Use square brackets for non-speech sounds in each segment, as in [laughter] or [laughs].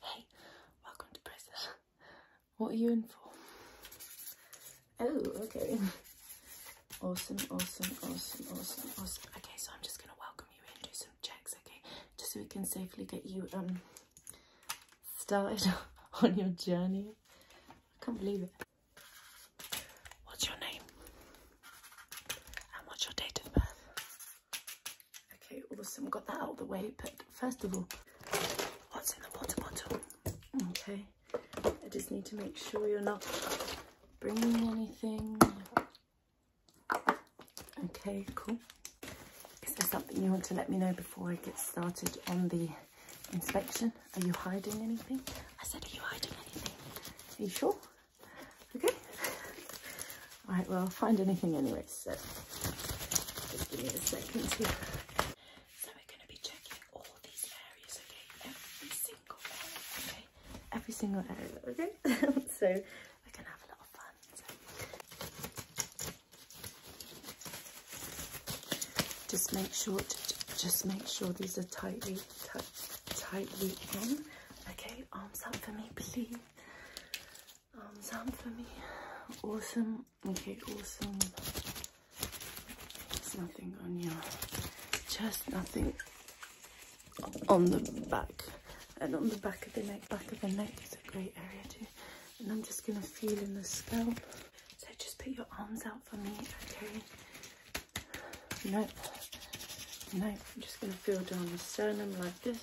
Hey, welcome to prison. What are you in for? Oh, okay. Awesome, awesome, awesome, awesome, awesome. Okay, so I'm just gonna welcome you in, do some checks, okay? Just so we can safely get you um started [laughs] on your journey. I can't believe it. What's your name? And what's your date of birth? Okay, awesome. Got that out of the way. But first of all, what's in the water bottle? Okay, I just need to make sure you're not bringing anything. Okay, cool. Is there something you want to let me know before I get started on the inspection? Are you hiding anything? I said, are you hiding anything? Are you sure? Okay. All right, well, I'll find anything anyway, so just give me a second here. So we're going to be checking all these areas, okay? Every single area, okay? [laughs] so we're have a lot of fun. Just make sure, just make sure these are tightly, tightly in. Okay, arms up for me, please. Arms um, sound for me. Awesome. Okay, awesome. There's nothing on your Just nothing on the back. And on the back of the neck, back of the neck is a great area too. And I'm just gonna feel in the scalp. So just put your arms out for me, okay? Nope. No I'm just going to feel down the sternum like this.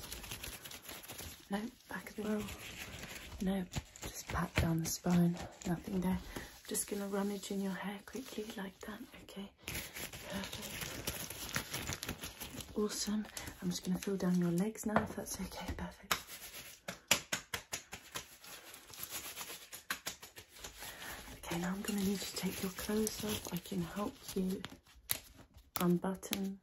No, back as well. No, just pat down the spine. Nothing there. just going to rummage in your hair quickly like that. Okay. Perfect. Awesome. I'm just going to feel down your legs now if that's okay. Perfect. Okay, now I'm going to need to take your clothes off. I can help you unbutton.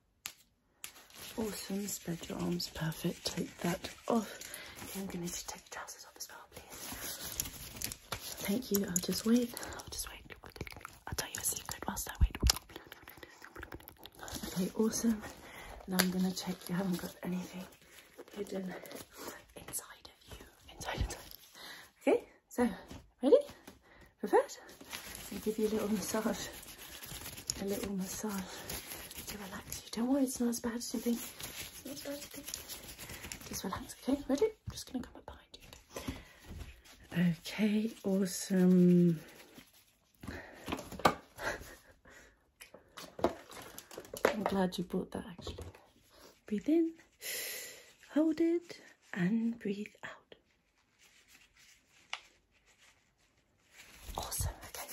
Awesome, spread your arms, perfect. Take that off. I'm going to just take your trousers off as well, please. Thank you, I'll just wait. I'll just wait. I'll tell you a secret whilst I wait. Okay, awesome. Now I'm going to check you haven't got anything hidden inside of you. Inside, inside. Okay? So, ready? Prepared? i give you a little massage. A little massage to relax you. Don't worry, it's not as bad as you think. It's not as bad as you think. Just relax, okay? Ready? I'm just going to come up behind you. Okay, awesome. I'm glad you brought that actually. Breathe in. Hold it and breathe out. Awesome, okay.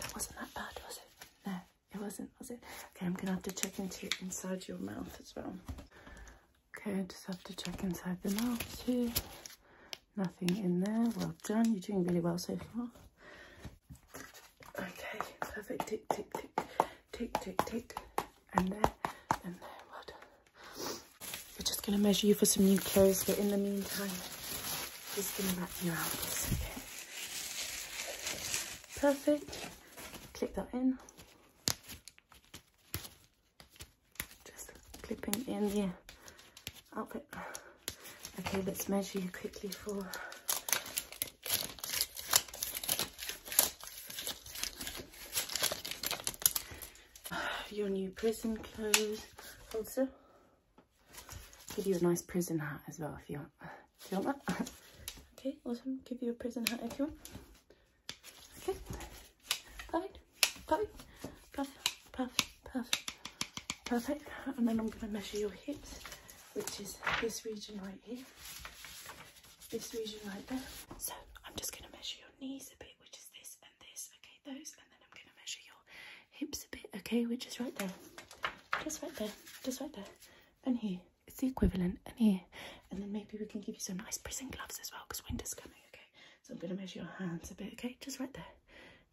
That wasn't that bad, was it? No, it wasn't, was it? Okay, I'm gonna have to check into inside your mouth as well. Okay, I just have to check inside the mouth too. Nothing in there. Well done. You're doing really well so far. Okay, perfect. Tick, tick, tick, tick, tick, tick, and there, and there. Well We're just gonna measure you for some new clothes, but in the meantime, just gonna wrap you around Okay. Perfect. Click that in. Just clipping in the outfit. Okay, let's measure you quickly for [sighs] Your new prison clothes also. Give you a nice prison hat as well if you want. Do you want that? [laughs] okay, awesome. Give you a prison hat if you want. Okay. Perfect. Perfect. Puff, puff, puff. And then I'm going to measure your hips, which is this region right here, this region right there. So I'm just going to measure your knees a bit, which is this and this, okay, those, and then I'm going to measure your hips a bit, okay, which is right there, just right there, just right there, and here. It's the equivalent, and here, and then maybe we can give you some nice prison gloves as well, because winter's coming, okay? So I'm going to measure your hands a bit, okay? Just right there.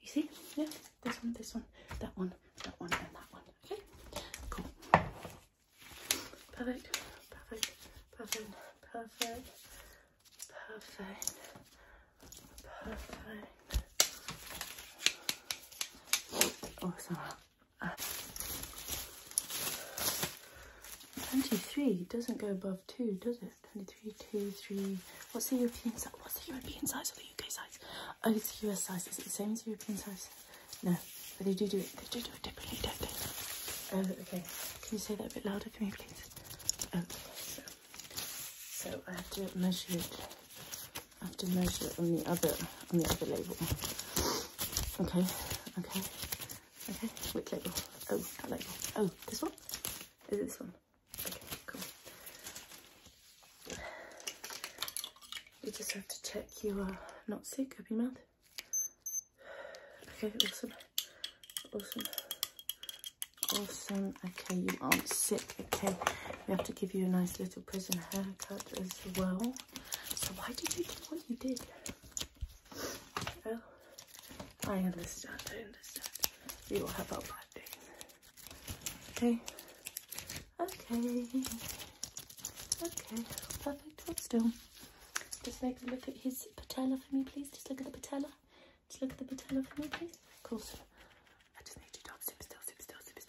You see? Yeah, this one, this one, that one, that one, and that one. Okay, cool. Perfect, perfect, perfect, perfect, perfect, perfect. Awesome. Oh, uh, 23 doesn't go above 2, does it? 23, 2, 3. What's the European size? What's the European size or the UK size? Oh, it's US size. Is it the same as European size? No, but they do do it. They do do it differently, do oh, okay. Can you say that a bit louder for me, please? Okay. Oh, so, so I have to measure it. I have to measure it on the other on the other label. Okay, okay, okay. Which label? Oh, that label. Oh, this one. Is it this one? Okay, cool. You just have to check you are uh, not sick Open your mouth. Okay, awesome. Awesome. Awesome. Okay, you aren't sick. Okay, we have to give you a nice little prison haircut as well. So why did you do what you did? Oh, I understand. I understand. You will have a bad day. Okay. Okay. Okay. Perfect. Hold still. Just make a look at his patella for me, please. Just look at the patella. Just look at the patella for me, please. Of course. I just need you to super still, super still, super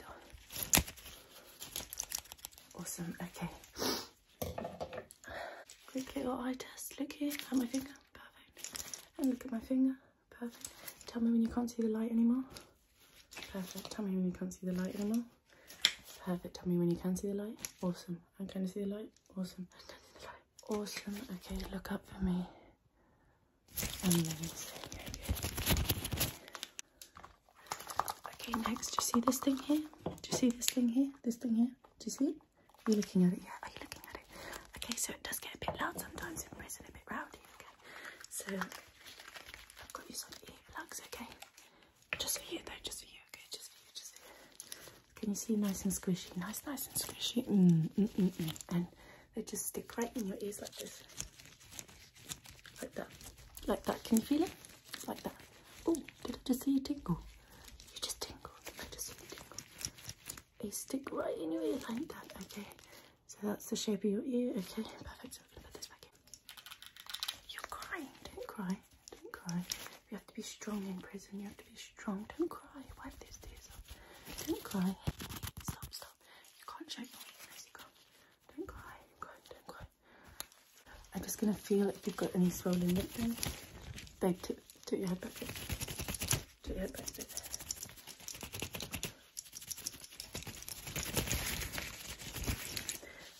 still. Awesome. Okay. Quick little eye test. Look here at my finger. Perfect. And look at my finger. Perfect. Tell me when you can't see the light anymore. Perfect. Tell me when you can't see the light anymore. Perfect. Tell me when you can see the light. Awesome. I can see the light. Awesome. I can see the light. Awesome. Okay, look up for me. Amazing. Okay, next, do you see this thing here? Do you see this thing here? This thing here? Do you see it? Are you looking at it? Yeah, are you looking at it? Okay, so it does get a bit loud sometimes in prison, a bit rowdy, so I've got you something here, relax, okay? Just for you though, just for you, okay? Just for you, just for you. Can you see nice and squishy? Nice, nice and squishy. Mm, mm, mm, mm, And they just stick right in your ears like this. Like that. Like that. Can you feel it? Like that. Oh, did I just see you tingle? You just tingle. I just see you tingle? They stick right in your ear like that, okay? So that's the shape of your ear. Okay, perfect. So I'm gonna put this back in. You're crying. Don't cry. Don't cry. You have to be strong in prison. You have to be strong. Don't cry. Wipe these tears off. Don't cry. Stop, stop. You can't shake my weakness. Don't cry. Don't cry. Don't cry. I'm just gonna feel if you've got any swollen lip thing. Babe, tip, tip your head back. Here to get back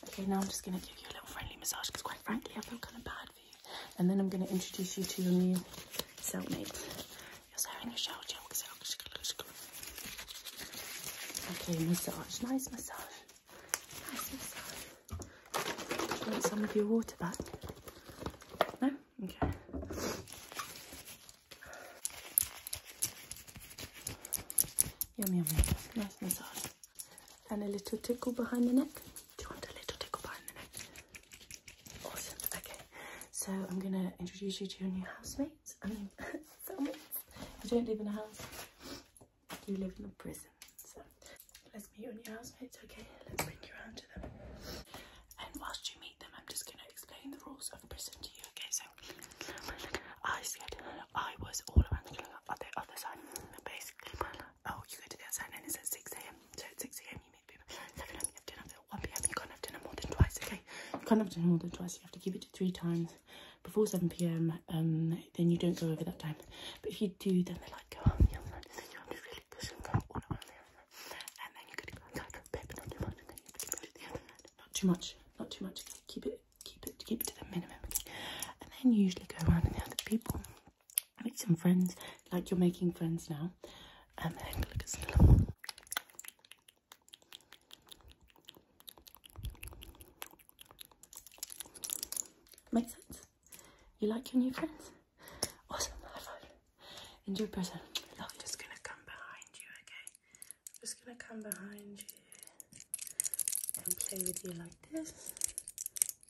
Okay, now I'm just going to give you a little friendly massage because quite frankly, I feel kind of bad for you. And then I'm going to introduce you to your new cellmate. You're wearing your shell gel. Okay, massage. Nice massage. want some of your water back? No? Okay. Yum, yum, yum. Nice massage. And a little tickle behind the neck. Do you want a little tickle behind the neck? Awesome. Okay. So I'm going to introduce you to your new housemates. I mean, [laughs] You don't live in a house. You live in a prison. So let's recognize me your housemates. Okay, let's bring you around to them. And whilst you meet them, I'm just going to explain the rules of prison to you. Okay, so I said I was all around the on the other side. Basically, oh, you go to the other side and it's at 6 a.m. So at 6 a.m. you meet people. 7 a.m. you have dinner. 1 p.m. you can't have dinner more than twice. Okay, you can't have dinner more than twice. You have to keep it to three times before 7 p.m. Um, then you don't go over that time. But if you do, then they're like, oh, go I'm just and then you're gonna go, not too much, the other hand. Not too much, not too much. Keep it, keep it, keep it to the minimum. And then usually go around and the people, make some friends, like you're making friends now, and then look at some little. Make sense? You like your new friends? Awesome. High And your person. Love I'm just gonna come behind you, okay? I'm just gonna come behind you and play with you like this.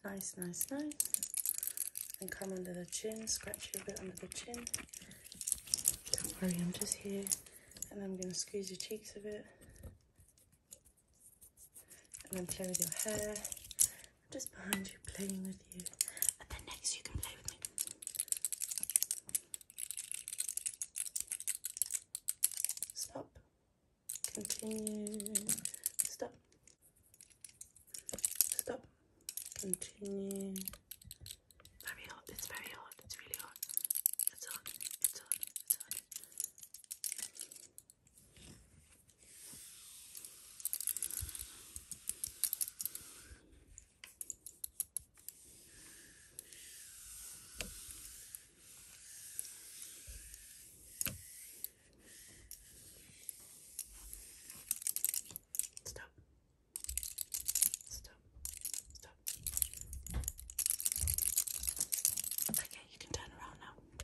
Nice, nice, nice. And come under the chin, scratch you a bit under the chin. Don't worry, I'm just here. And I'm gonna squeeze your cheeks a bit and then play with your hair. just behind you, playing with you. And then next, you can play with me. Stop. Continue. Stop. Stop. Continue. Very hot. It's very hot. It's really hot. It's hot. It's hot. It's hot. Stop. Stop. Stop. Okay, you can turn around now.